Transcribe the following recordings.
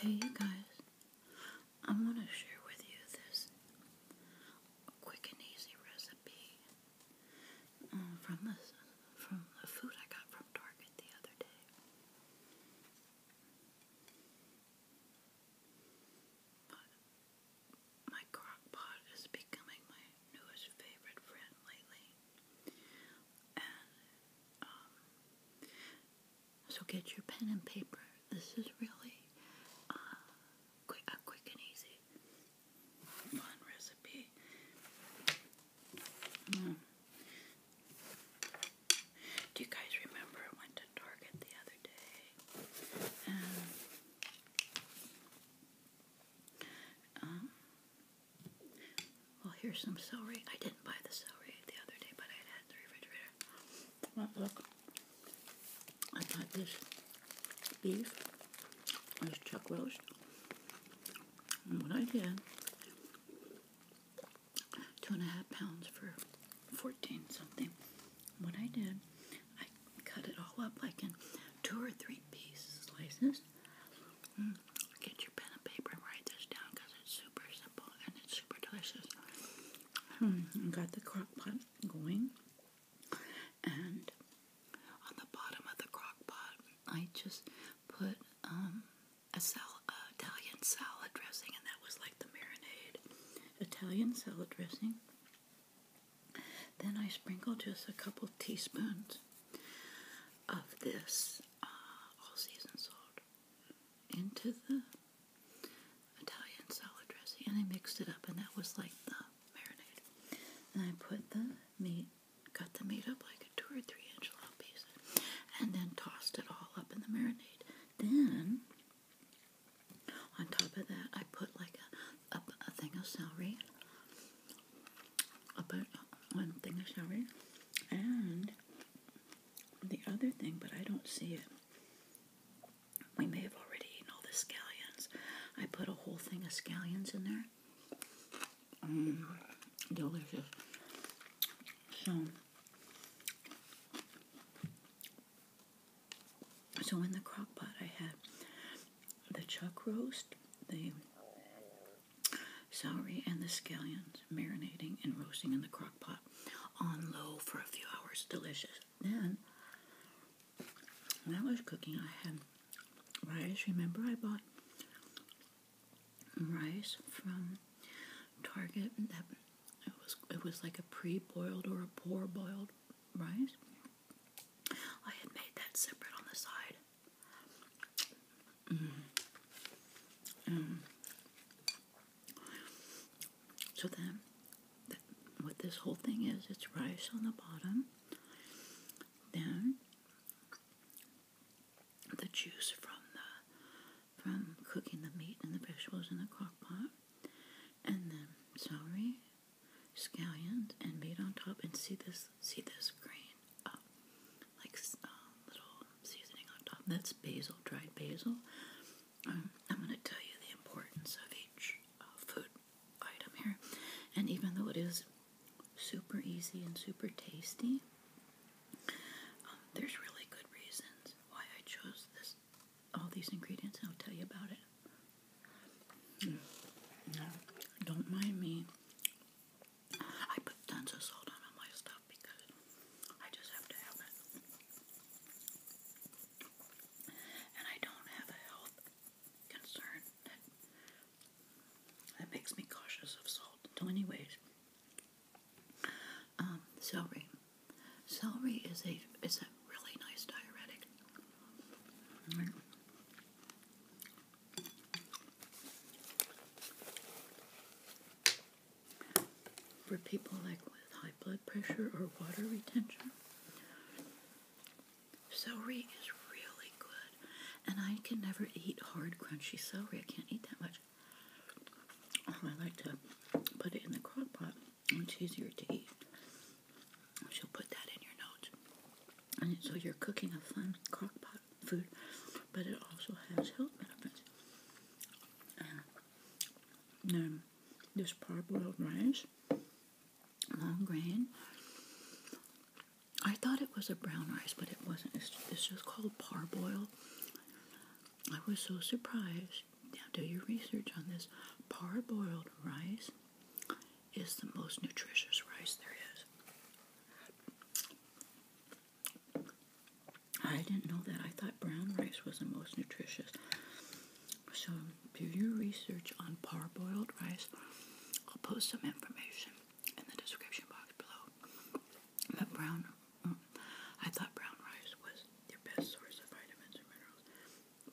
Hey, you guys, I want to share with you this quick and easy recipe um, from the food I got from Target the other day. my crock is becoming my newest favorite friend lately, um, so get your pen and paper. This is really uh, a quick and easy fun recipe. Mm. Do you guys remember I went to Target the other day? Um, well, here's some celery. I didn't buy the celery the other day, but I had it in the refrigerator. look, I got this beef, this chuck roast. what I did, two and a half pounds for 14 something. What I did, I cut it all up like in two or three piece slices. Mm get your pen and paper and write this down because it's super simple and it's super delicious. Hmm, got the crock pot going, and on the bottom of the crock pot, I just put um, a sal Italian salad dressing, and that was like the marinade Italian salad dressing. Then I sprinkle just a couple teaspoons of this uh, all season salt into the Italian salad dressing and I mixed it up and that was like the marinade. And I put the meat, cut the meat up like a two or three inch long piece and then tossed it all up in the marinade. Then on top of that I put like a, a, thing of celery, about uh, one thing of celery and the other thing, but I don't see it. We may have already eaten all the scallions. I put a whole thing of scallions in there. Mm, delicious. So, so in the crock pot, I had the chuck roast, the Celery and the scallions marinating and roasting in the crock pot on low for a few hours. Delicious. Then, when I was cooking, I had rice. Remember, I bought rice from Target. That it was it was like a pre-boiled or a poor boiled rice. I had made that separate on the side so then, what this whole thing is, it's rice on the bottom, then the juice from the from cooking the meat and the vegetables in the crock pot, and then celery, scallions, and meat on top. And see this See this green, like um, little seasoning on top. That's basil, dried basil. Um, I'm going to tell you the importance of each uh, food item here. And even though it is super easy and super tasty, um, there's really good reasons why I chose this. All these ingredients, and I'll tell you about it. Hmm. No, don't mind me. I put tons of salt on all my stuff because I just have to have it. And I don't have a health concern that makes me cautious of salt. So anyways, um, celery. Celery is a is a really nice diuretic. For people like with high blood pressure or water retention, celery is really good. And I can never eat hard, crunchy celery. I can't eat that much. Um, I like to put it in the crock pot. It's easier to eat. So put that in your notes. And so you're cooking a fun crock pot food, but it also has health benefits. And um, this parboiled rice, long grain. I thought it was a brown rice, but it wasn't. It's, it's just called parboiled. I was so surprised. Now, do your research on this. Parboiled rice is the most nutritious rice there is. I didn't know that. I thought brown rice was the most nutritious. So do your research on parboiled rice. I'll post some information in the description box below. But brown, mm, I thought brown rice was the best source of vitamins and minerals.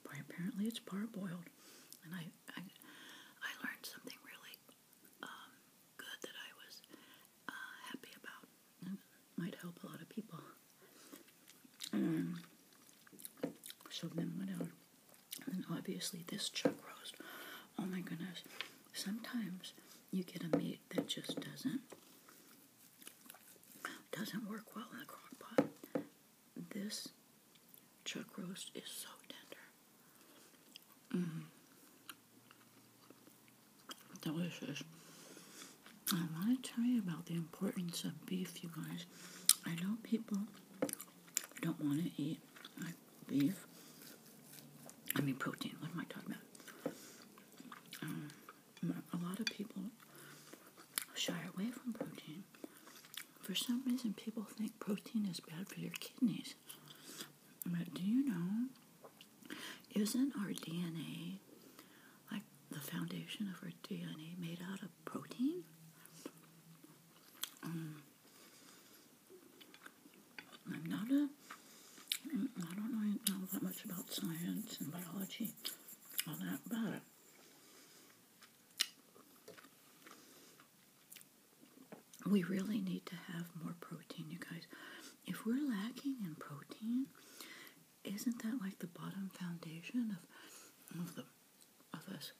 But apparently it's parboiled. And I, I, I learned something really um, good that I was uh, happy about. might help a lot of people. Um, so then what else? And obviously this chuck roast. Oh my goodness. Sometimes you get a meat that just doesn't doesn't work well in the crock pot. This chuck roast is so tender. Mm-hmm. Delicious. I want to tell you about the importance of beef, you guys. I know people don't want to eat like beef. I mean, protein. What am I talking about? Um, a lot of people shy away from protein. For some reason, people think protein is bad for your kidneys right? But do you know, isn't our DNA, like the foundation of our DNA, made out of protein? Um, mm, I don't know that much about science and biology, all that, but we really need to have more protein, you guys. If we're lacking in protein, isn't that like the bottom foundation of of us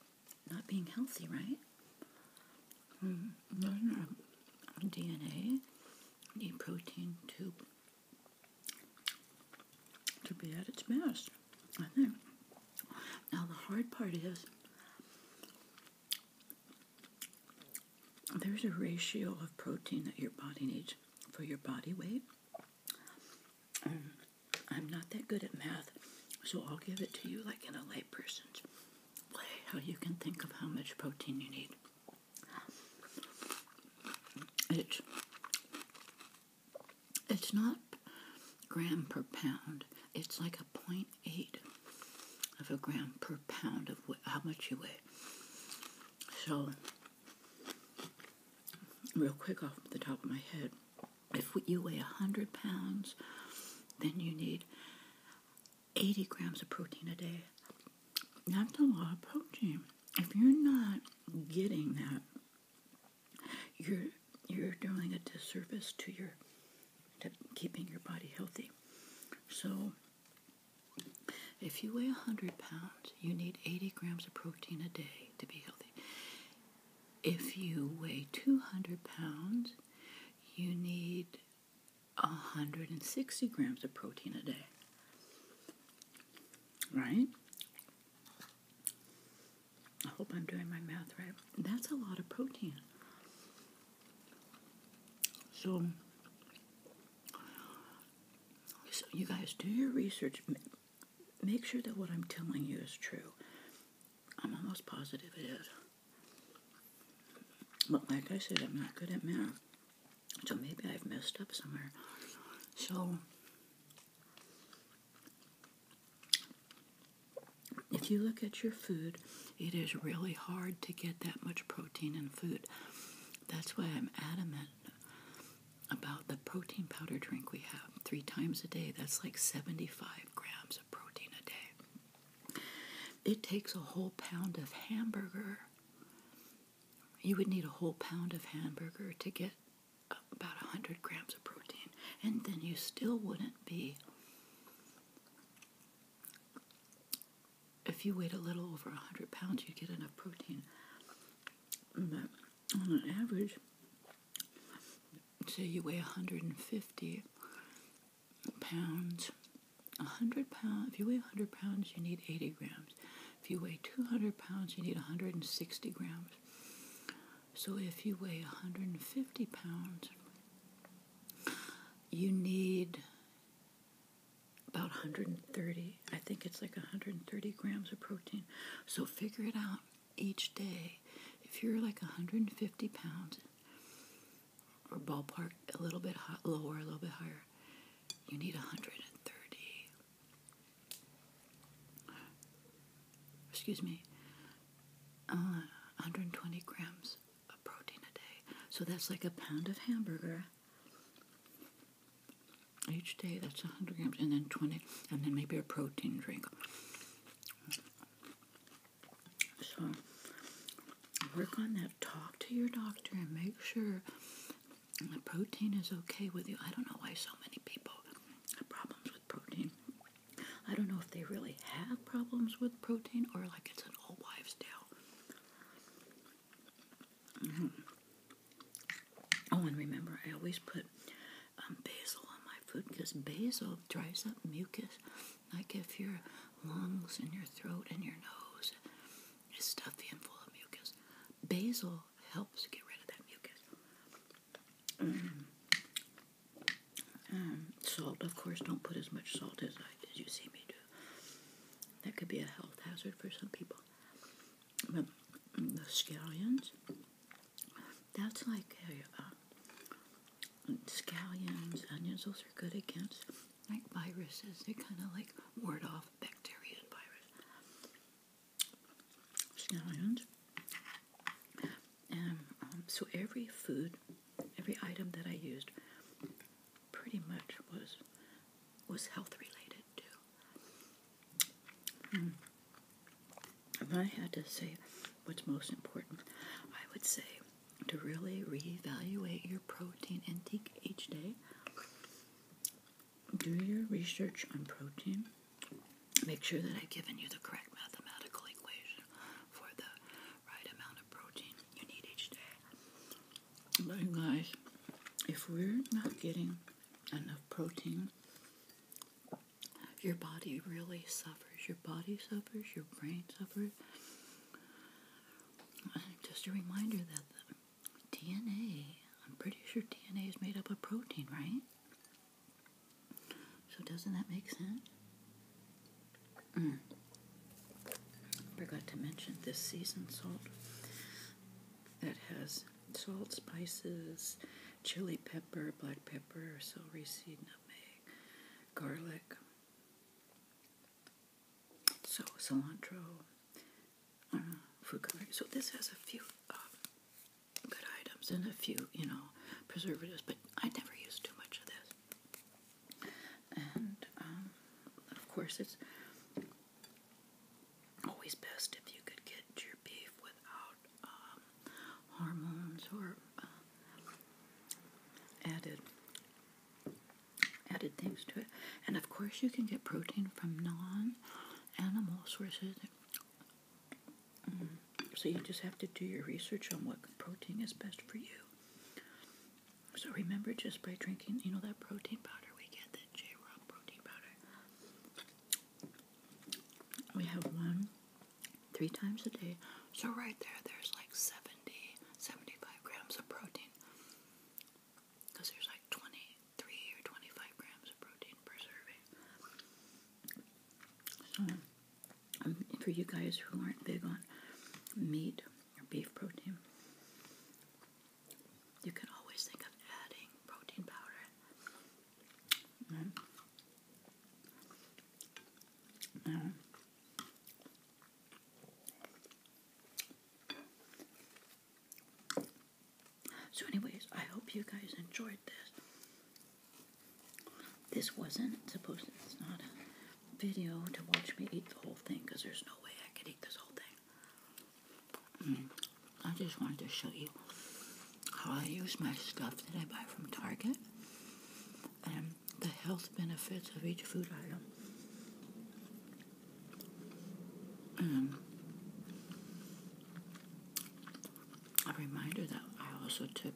not being healthy, right? Mm, DNA need protein to to be at its best? I think. Now the hard part is there's a ratio of protein that your body needs for your body weight. Um, I'm not that good at math, so I'll give it to you like in a layperson's way, how you can think of how much protein you need. It's, it's not gram per pound. It's like a point. Eight of a gram per pound of how much you weigh. So, real quick off the top of my head, if you weigh 100 pounds, then you need 80 grams of protein a day. That's a lot of protein. If you're not getting that, you're you're doing a disservice to your to keeping your body healthy. So, if you weigh 100 pounds, you need 80 grams of protein a day to be healthy. If you weigh 200 pounds, you need 160 grams of protein a day. Right? I hope I'm doing my math right. That's a lot of protein. So, you guys do your research. Make sure that what I'm telling you is true. I'm almost positive it is. But like I said, I'm not good at math. So maybe I've messed up somewhere. So if you look at your food, it is really hard to get that much protein in food. That's why I'm adamant about the protein powder drink we have three times a day. That's like 75 grams of protein a day. It takes a whole pound of hamburger. You would need a whole pound of hamburger to get about 100 grams of protein, and then you still wouldn't be if you weigh a little over 100 pounds, you get enough protein. But on an average, say you weigh 150 pounds, 100 pounds, if you weigh 100 pounds, you need 80 grams. If you weigh 200 pounds, you need 160 grams. So if you weigh 150 pounds, you need about 130. I think it's like 130 grams of protein. So figure it out each day. If you're like 150 pounds, or ballpark a little bit lower, a little bit higher, you need 130 excuse me, uh, 120 grams of protein a day. So that's like a pound of hamburger each day. That's 100 grams, and then 20, and then maybe a protein drink. So work on that. Talk to your doctor and make sure the protein is okay with you. I don't know why so many people have problems with protein. I don't know if they really have problems with protein or like it's an all wives' tale. Mm-hmm. Oh, and remember, I always put um, basil on my food because basil dries up mucus. Like if your lungs and your throat and your nose is stuffy and full of mucus, basil helps get rid of that mucus. Um, salt, of course, don't put as much salt as I as you see me do. That could be a health hazard for some people. the scallions, that's like a, um, scallions, onions. Those are good against like viruses. They kind of like ward off bacteria and viruses. Scallions. And um, um, so every food, every item that I used, pretty much was was health related too. Hmm. If I had to say what's most important, I would say to really reevaluate your protein intake each day. Do your research on protein. Make sure that I've given you the correct mathematical equation for the right amount of protein you need each day. But guys, if we're not getting enough protein, your body really suffers. Your body suffers, your brain suffers. Just a reminder that DNA, I'm pretty sure DNA is made up of protein, right? So doesn't that make sense? Mm. Forgot to mention this seasoned salt that has salt, spices, chili pepper, black pepper, celery seed, nutmeg, garlic, so cilantro, uh, food coloring. So this has a few uh, good items and a few, you know, preservatives, but I never use too much of this. And um, of course, it's always best if you could get your beef without um, hormones or uh, added added things to it. And of course, you can get protein from non-animal sources. Mm. so you just have to do your research on what protein is best for you. So remember, just by drinking, you know that protein powder we get, that J. protein powder. We have one three times a day. So right there, there's like 70, 75 grams of protein. Because there's like 23 or 25 grams of protein per serving. So, um, for you guys who aren't big on meat or beef protein, you can always think of adding protein powder. So, anyways, I hope you guys enjoyed this. This wasn't supposed to, it's not a video to watch me eat the whole thing because there's no way I could eat this whole thing. Mm. I just wanted to show you how I use my stuff that I buy from Target and the health benefits of each food item. Um, a reminder that I also took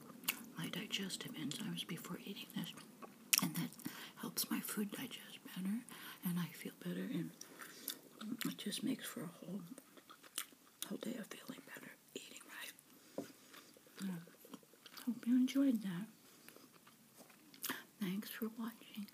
my digestive enzymes before eating this, and that helps my food digest better, and I feel better, and it just makes for a whole whole day of feeling better eating right. Hope you enjoyed that. Thanks for watching.